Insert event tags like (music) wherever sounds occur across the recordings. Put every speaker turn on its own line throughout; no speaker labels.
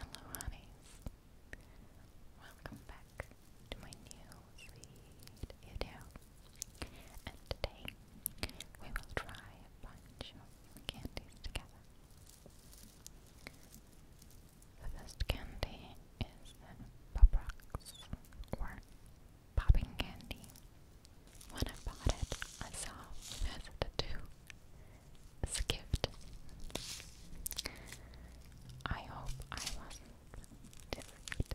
Hello, honeys. Welcome back to my new sweet video. And today we will try a bunch of candies together. The first candy is Pop Rocks or Popping Candy. When I bought it, I saw it has two Skipped. I hope I was different.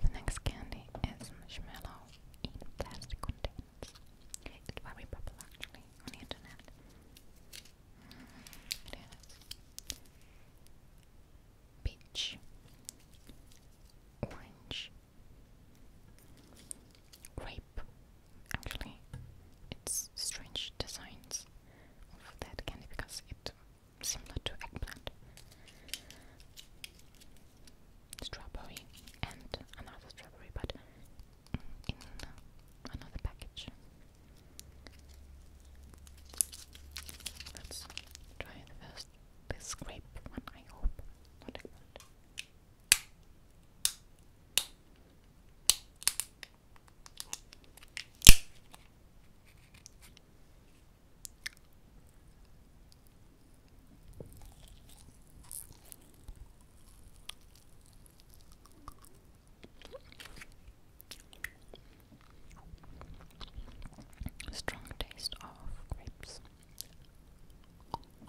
The next candy is marshmallow in plastic containers. It's very popular actually on the internet. Peach. Orange. Grape. Actually, it's strange designs of that candy because it's similar to eggplant. Strawberry and another strawberry, but in another package. Let's try the first the scrape one, I hope. Not Okay. Strong taste of grapes. Orange.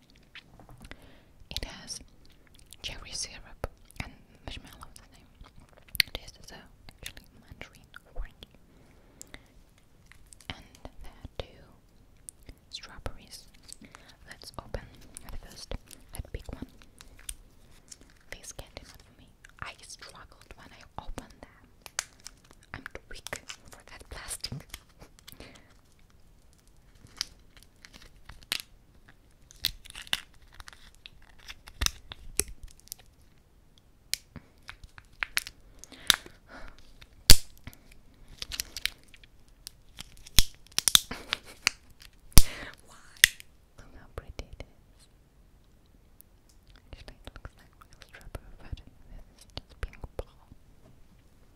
It has cherry syrup and marshmallow in the name. It is the, actually mandarin And there are two strawberries. Let's open the first, that big one. This candy not me. I struggled when I opened them. I'm weak for that plastic. Why? Look how pretty it is. Actually, it looks like a strap of a with this pink ball.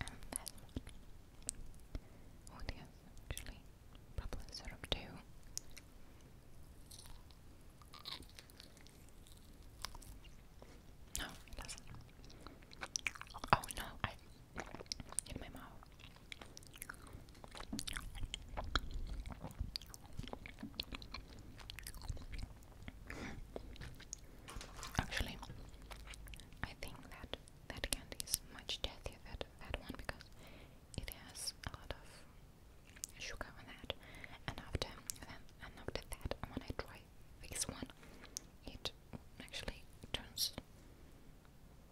And this Oh, yes, actually. Probably sort of two. No, it doesn't. Oh no, I in my mouth. Actually, I think that that candy is much tastier than that one because it has a lot of sugar on that. And after then, and after that, when I try this one, it actually turns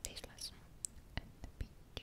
tasteless. And the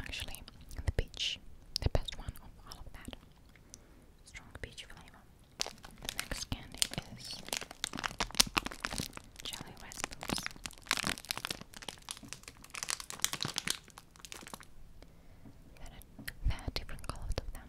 Actually, the peach, the best one of all of that. Strong peach flavor. The next candy is Jelly Raspberries. There are, different colors of them.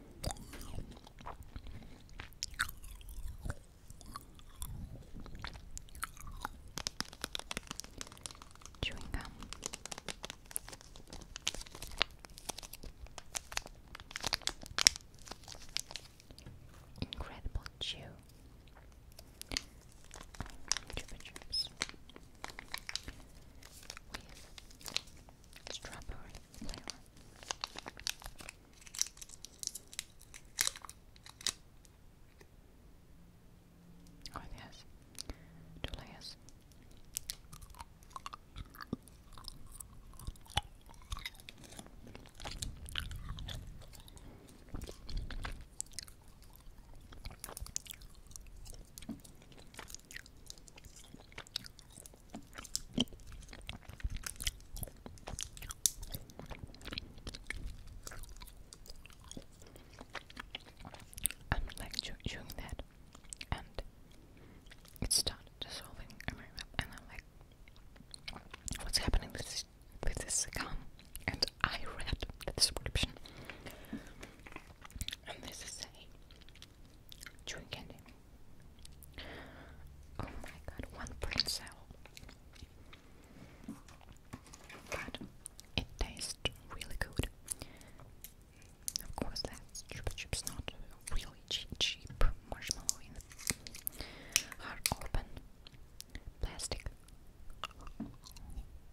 Chewing gum. Incredible chew. Chupa Chups strawberry flavor. Oh, it two layers. I'm like chewing that, and it started dissolving in my mouth, and I'm like, what's happening with this, with this gum? And I read the description, and this is saying chewing candy. Oh my god, one brain But it tastes really good. Of course, that's Chupa Chups, not really cheap, cheap marshmallow hard open plastic.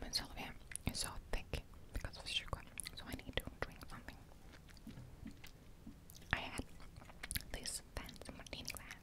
Men Sylvia is so thick because of sugar, so I need to drink something. I had this fancy martini glass.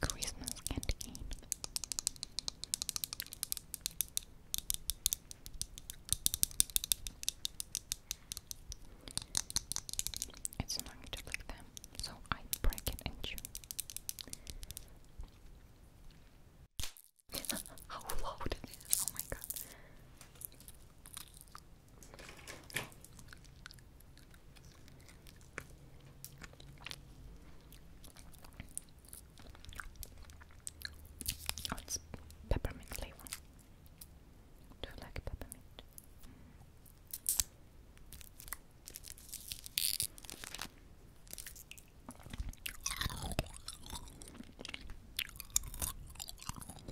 Christmas canteen. It's not to like them, so I break it and chew. (gasps) How loud Oh my god. Oh, it's peppermint flavor. Do you like peppermint?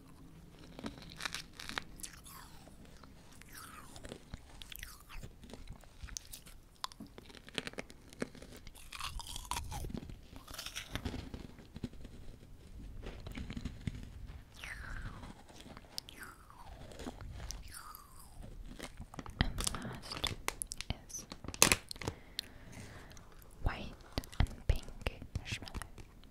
last is white and pink marshmallow.